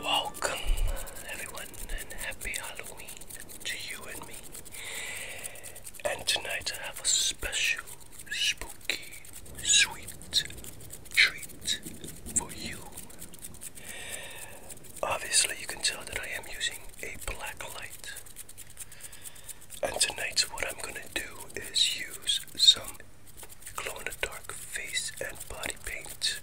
Welcome, everyone, and happy Halloween to you and me. And tonight I have a special, spooky, sweet treat for you. Obviously, you can tell that I am using a black light. And tonight's what I'm gonna do is use some glow in the dark face and body paint.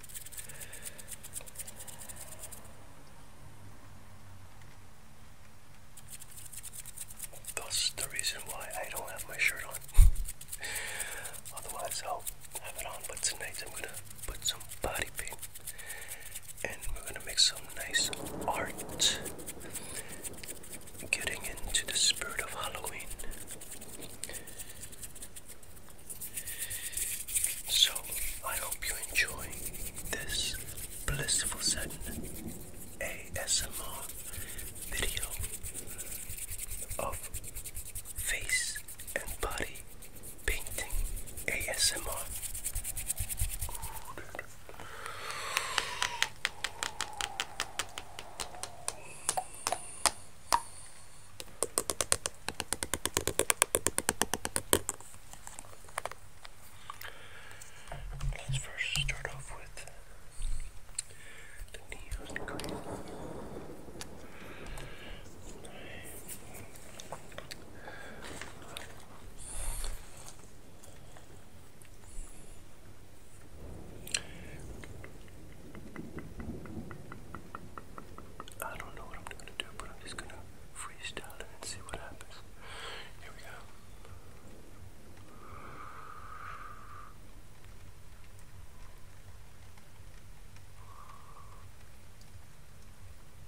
That's the reason why I don't have my shirt on. Otherwise, I'll have it on, but tonight I'm gonna put some body paint and we're gonna make some nice art getting into the spirit of Halloween. So, I hope you enjoy this blissful Zen ASMR video of face and body painting ASMR. Let's first start off with the neon green. I don't know what I'm gonna do, but I'm just gonna freestyle it and see what happens. Here we go.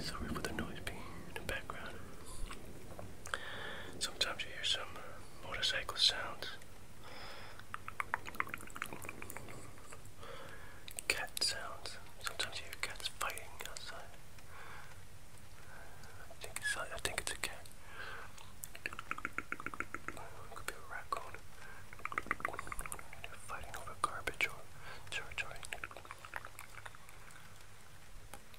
Sorry for the noise being in the background. Sometimes you hear some motorcycle sounds, cat sounds. Sometimes you hear cats fighting outside. I think it's, I think it's a cat. Could be a raccoon. fighting over garbage or territory.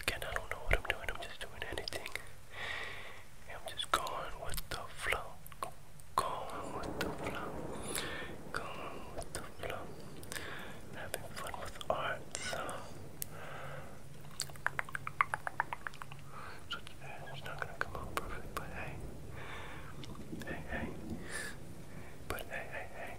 Again, I don't know what I'm doing, I'm just doing anything. I'm just going with the flow. Going with the flow. Going with the having fun with art. So, so it's not gonna come out perfect, but hey, hey, hey, but hey, hey, hey. Hey,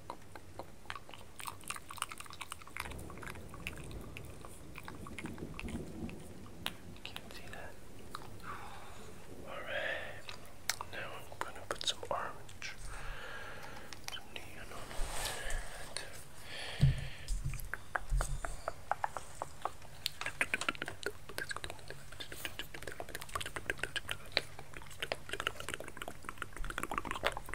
Can't see that. Alright, now I'm going to put some orange, some neon on that.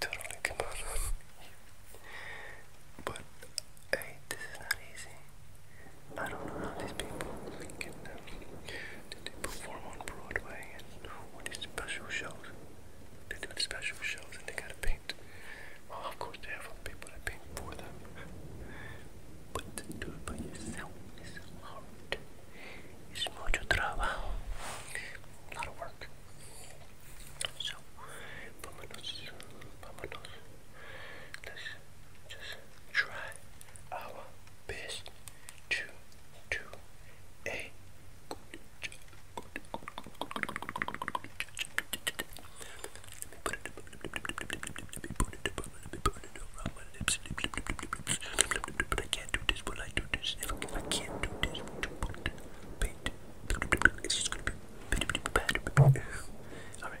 Totally but hey, this is not easy. I don't know how these people can uh, did they perform on Broadway and what is special shows? They do special shows and they gotta paint. of course they have people that paint for them. But to do it by yourself is hard. It's mucho trabajo. A lot of work. So, vámonos, vámonos. Let's just try our best two, two, a good Let me put it up, let me put it around my lips. But I can't do this, but I do this. If I can't do this, paint. It's just gonna be bad. Alright.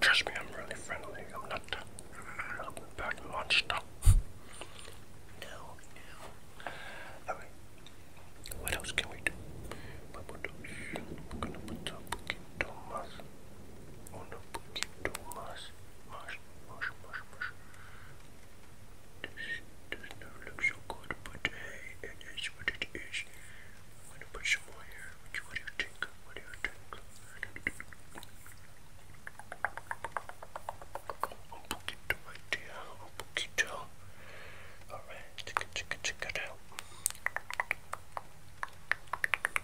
Trust me, I'm really friendly. I'm not I'm monster. no, no. What else can we do? We're gonna put the poquito más on un poquito más, más, más, más, más. This does not look good, but hey, it is what it is. I'm gonna put more here. What do you think? What do you think? Un poquito right there, un poquito. Alright, check it, check it, check it out.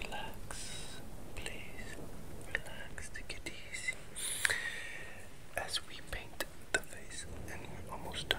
Relax, please. Relax, take it easy. As we paint the face, and we're almost done.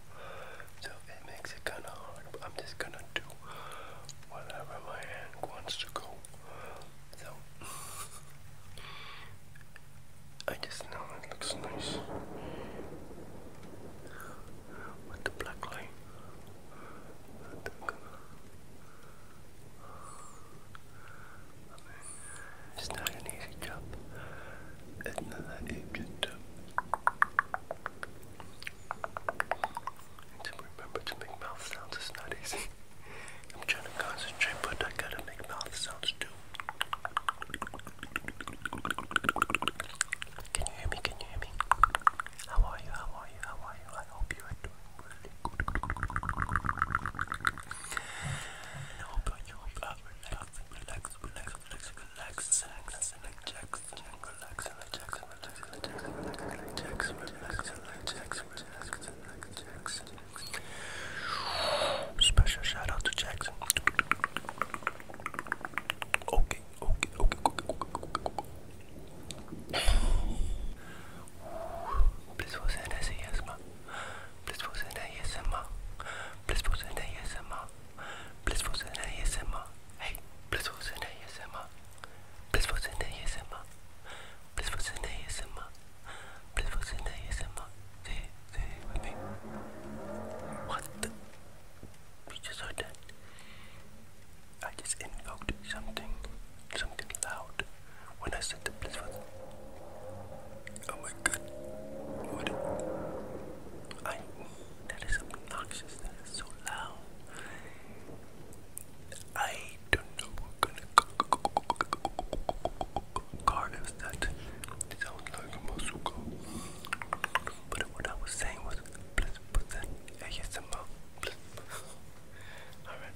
so it makes it kind of hard. I'm just gonna do whatever my hand wants to go. So I just know it looks nice with the black light. it's not an easy job to remember to make mouth sounds is not easy. I'm trying to concentrate, but I gotta make mouth sounds too. Can you hear me? Can you hear me? How are you? How are you? How are you? I hope you are doing really good. I hope you are relaxed. Special shout out to Jackson. Okay, okay, okay, okay. Please was an ASMR. Please was an ASMR. Please was an ASMR. Blissful in ASMR. Hey, blissful in ASMR. Blissful in ASMR. Blissful in ASMR. Blissful in ASMR. Say, say with me. What the? We just heard I just invoked something, something loud when I said the blissful. Oh my god. What? I that is obnoxious. That is so loud. I don't know what kind of card is that. It sounds like a bazooka. But what I was saying was, please put that ASMR. Please. Alright.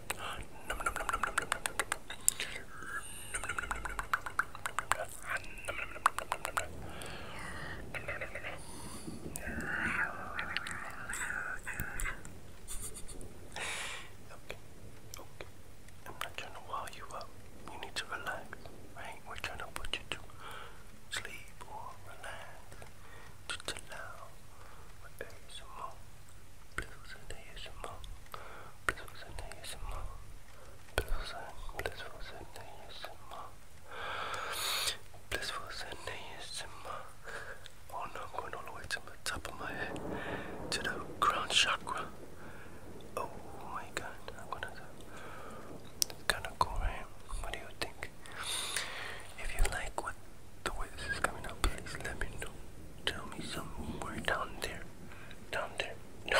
Okay, okay. I'm not trying to wall you up. You need to relax, right? We're trying to put you to sleep or relax, to chill out, or 不出声的夜深梦，不出声的夜深梦，不出声，不出声的夜深梦，不出声的夜深梦。Oh no, I'm going all the way to the top of my head, to the crown chakra. Oh my god, I'm gonna It's kinda cool, right? What do you think? If you like what the way this is coming up, please let me know. Tell me somewhere down there down there. No,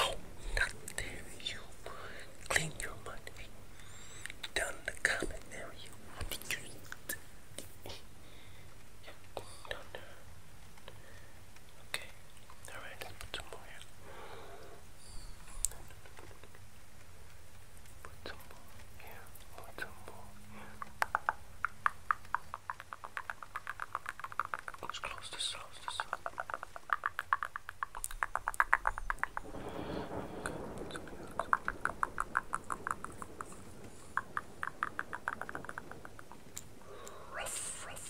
not there, you. Clean your money. Down in the comment area. What did you eat? Yeah, down there. Okay, alright, let's put some more here. Put some more here, put some more here. Let's close this, close this. Good. Ruff, ruff.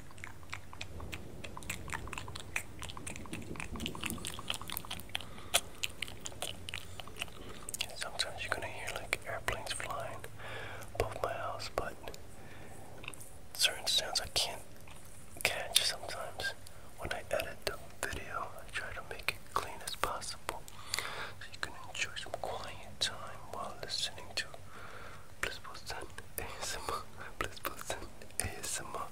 sometimes you're gonna hear like airplanes flying above my house, but certain sounds I can't catch sometimes. When I edit the video, I try to make it clean as possible so you can enjoy some quiet time while listening to Blissful Sun ASMR. Blissful Sun ASMR.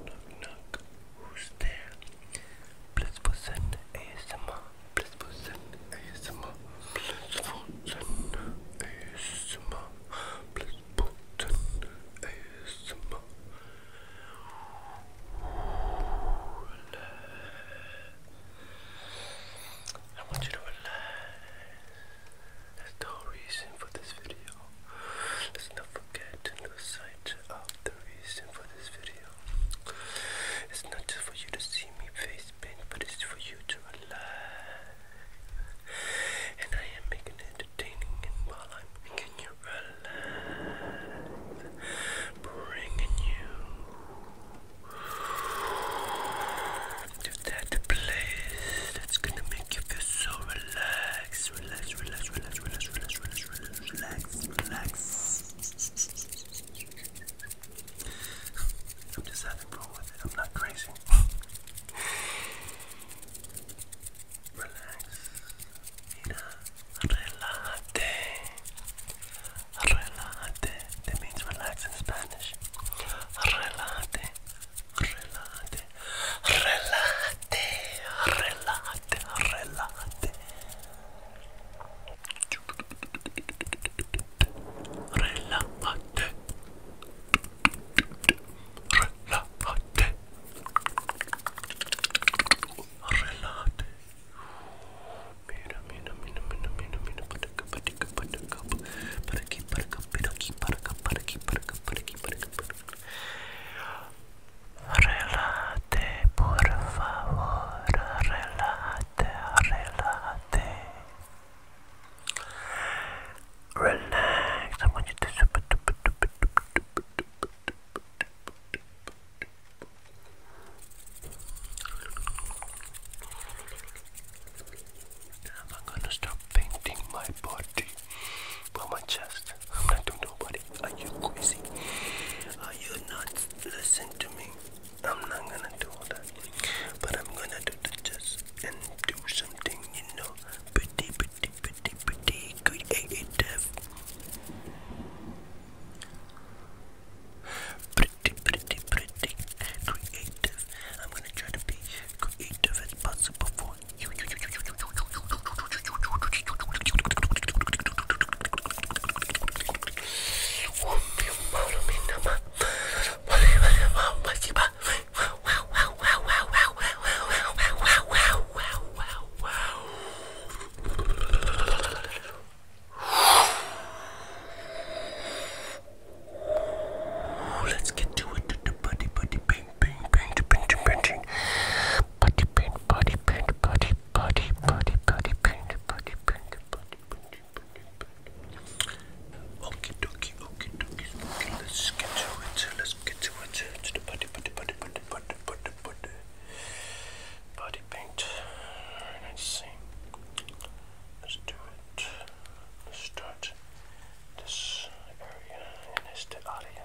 Knock, knock. Who's there? Blissful Sun ASMR. Blissful Sun ASMR. Blissful Sun ASMR. I want you to relax. That's the whole reason for this video. Let's not forget no of the reason for this video. It's not just for you to see me face paint, but it's for you to relax. And I am making entertaining while I'm making you relax, bringing you to that place that's gonna make you feel so relaxed, relax, relax, relax, relax, relax, relax, relax, relax. I'm just having fun with it. I'm not crazy. relax. Mira, relajate. Relajate. That means relax in Spanish. Relajate. Relate, relate, relate, relate. Relate. Relate. Relate. Mira, mira, mira, mira, mira, mira, para acá, para acá, para acá, para aquí, para acá, para aquí, para acá, para aquí, para acá, para aquí, para acá, para acá. Relate, por favor, relate, relate. Relax, I am gonna start painting my body, but my chest. I'm not to nobody. Are you crazy? Are you not listen to me? I'm not gonna do all that. But I'm gonna do the just and do something, you know, pretty, pretty, pretty, pretty creative. Pretty, pretty, pretty creative. I'm gonna try to be creative as possible for Let's get to it, buddy, buddy, baby paint, paint, paint, paint, Body paint, body paint, body, body, body, body paint, body paint, body paint, body paint. let's get to it, let's get to it, to the body, body, body, body, body, body, body. Body paint. Alright, let's see. Let's do it. Let's start this area and this area.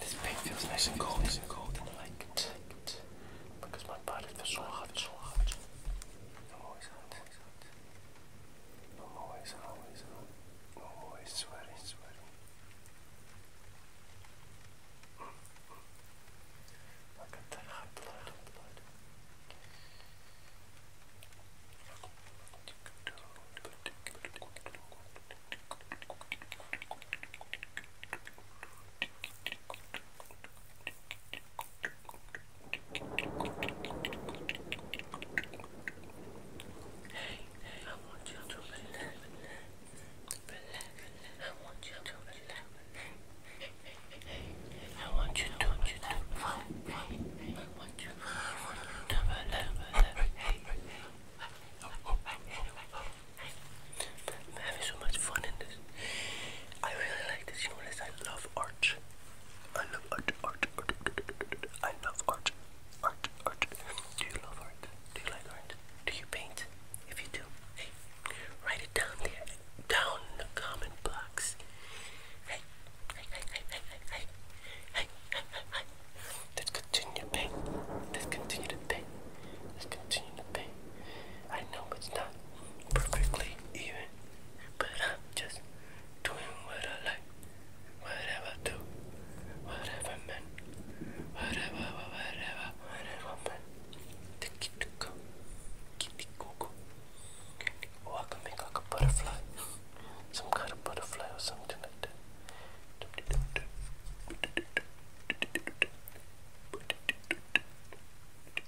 This paint feels nice and cold, nice and cold and light ma parece suave, suave. No always hot, always hot. No always, always hot. No always sweaty, sweaty. Look at that hot blood, hot blood. Hey, I want you to relax. Relax. I want you to relax. Hey, hey, hey, hey. I want you to relax. I want you to relax. Hey, hey, hey. I'm having so much fun in this. I really like this, you know this. I love art. I love art, art, art, art. I love art, art, art. Do you love art? Do you like art? Do you paint? If you do, hey, write it down there, down in the comment box. hey, hey, hey, hey, hey, hey, hey, hey, hey, hey. Let's continue to paint. Let's continue to paint. Let's continue to paint. I know it's not perfectly even, but I'm just doing what I like, whatever I do, whatever man, whatever, whatever, whatever man. Tiki-tuka, kitty-cuckoo, or I can make like a butterfly, some kind of butterfly or something like that.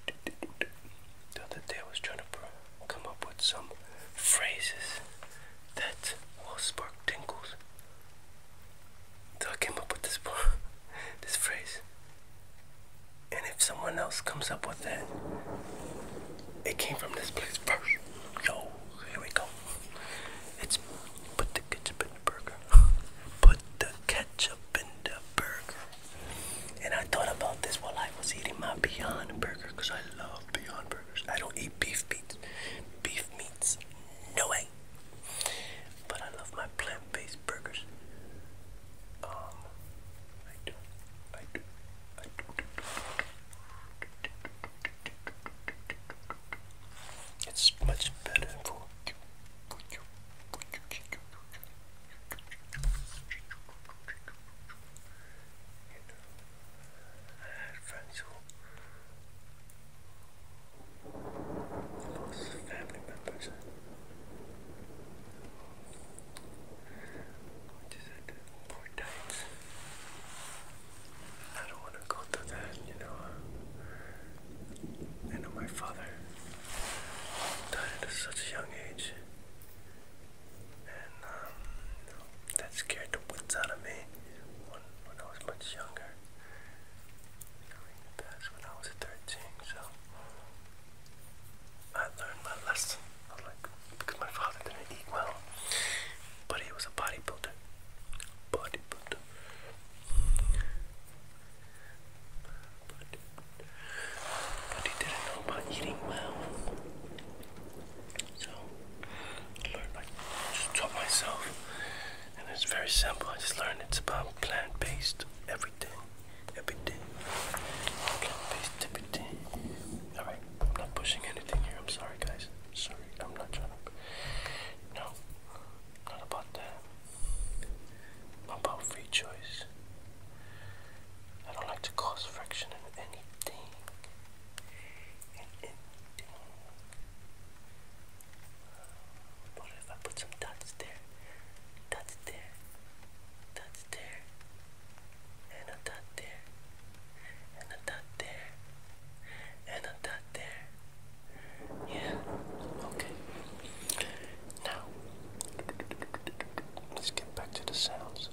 The other day I was trying to come up with some phrases that will spark tingles. So I came up with this this phrase. And if someone else comes up with it, it came from this place first. So here we go. It's put the ketchup in the burger. Put the ketchup in the burger. And I thought about this while I was eating my Beyond Burger because I love Beyond Burgers. I don't eat beef meats. Beef meats. No way. But I love my plant-based burgers. I do. I do. I do. It's much better For you. You know, I had friends who lost family members. Which is at poor times. I don't want to go through that, you know. I know my father died at such a young age, and um, that scared the wits out of me when, I was much younger. During the past, when I was 13, so I learned my lesson. i like because my father didn't eat well, but he was a bodybuilder. Bodybuilder but, he didn't know about eating well. So I learned, I just taught myself, and it's very simple. I just learned it's about plant-based everything, everything, plant-based everything. All right, I'm not pushing anything here. I'm sorry, guys. sorry, I'm not trying to. No, not about that about free choice. I don't like to cause friction in anything. In anything. What if I put some dots there? Dots there. Dots there. And a dot there. And a dot there. And a dot there. Yeah. Okay. Now, let's get back to the sounds.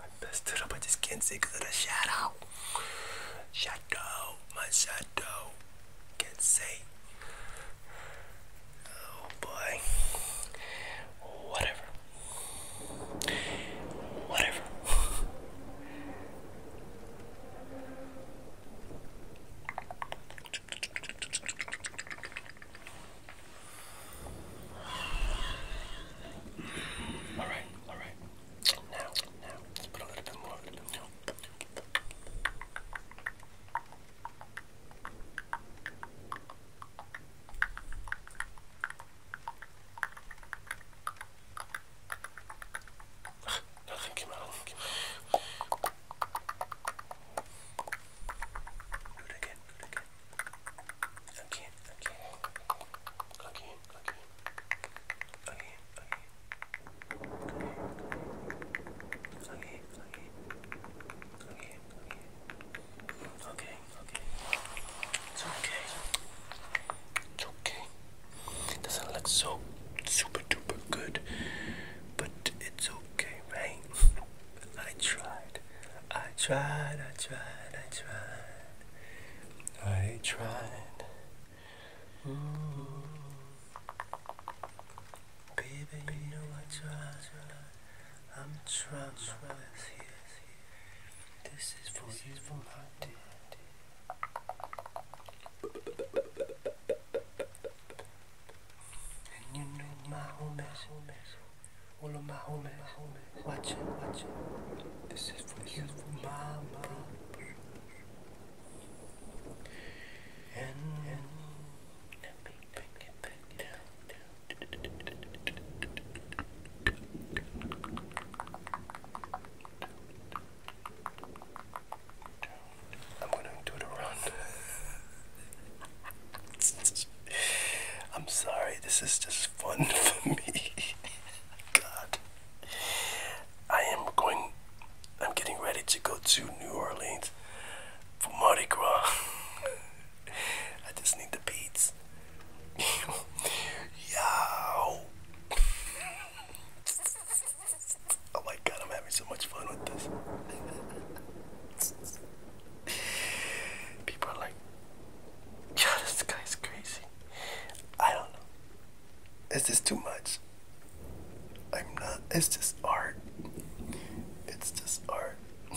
I messed it up, I just can't see because of the shadow. Shadow, my shadow. Can't see. Oh boy. Whatever. Whatever. All right, all right. Now, now, let's put a little bit more, a little bit more. Nothing came out. Nothing came out. Do it again, again. Again, again. Again, again. Again, again. Again, okay. It's okay. It's okay. It doesn't look so super duper good, but it's okay mate. I tried. I tried. I tried. I tried. I tried. Ooh. Baby, you know I tried. I'm trying. trying. This is for this you, is for my dear. dear. And you know my homies, homies, all of my homies, homies, watching, watching. This is for this you, is for mama. And, and let me bring it back down. I'm gonna do the run. I'm sorry, this is just fun for me. God. I am going, I'm getting ready to go to New Orleans for Mardi Gras. I just need the beats. Yo! Oh my god, I'm having so much fun with this. People are like, yeah, this guy's crazy. I don't know. It's just too much. I'm not, it's just art. It's just art.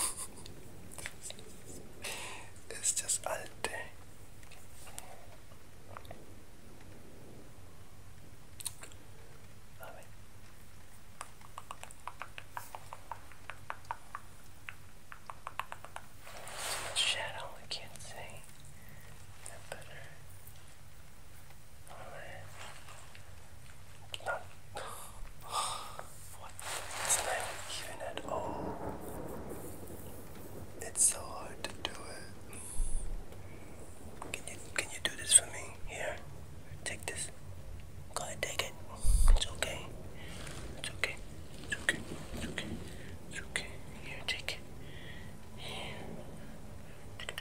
it's just art. It's shadow, I can't see. That better. Not. what? It's not even at all. It's so hard to do it. Can you can you do this for me? everything. Here, take this. Go ahead, take it. It's okay. It's okay. It's okay. It's okay. It's okay. Here, take it. Here. And,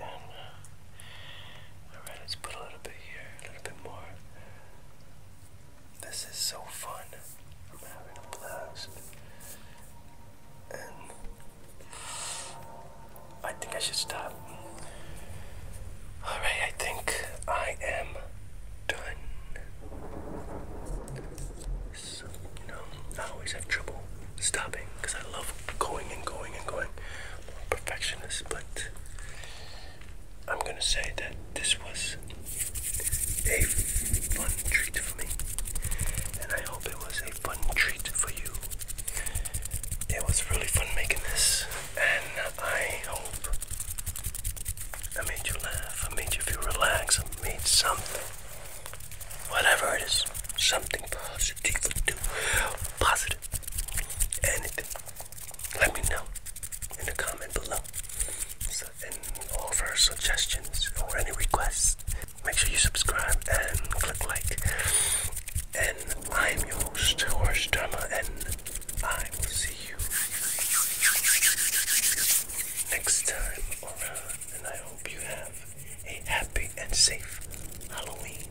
uh, all right, let's put a little bit here, a little bit more. This is so fun. I'm having a blast. And I think I should stop. Alright, I think I am done. I always have trouble stopping because I love going and going and going. i perfectionist, but I'm gonna say that this was a fun treat for me. And I hope it was a fun treat for you. It was really fun making this. And I hope I made you laugh. I made you feel relaxed. I made something. Whatever it is. Something positive to do. Positive. Anything. Let me know in the comment below. So and offer suggestions or any requests. Make sure you subscribe and click like. And I'm your host, Horse and I will see you next time around. And I hope you have a happy and safe Halloween.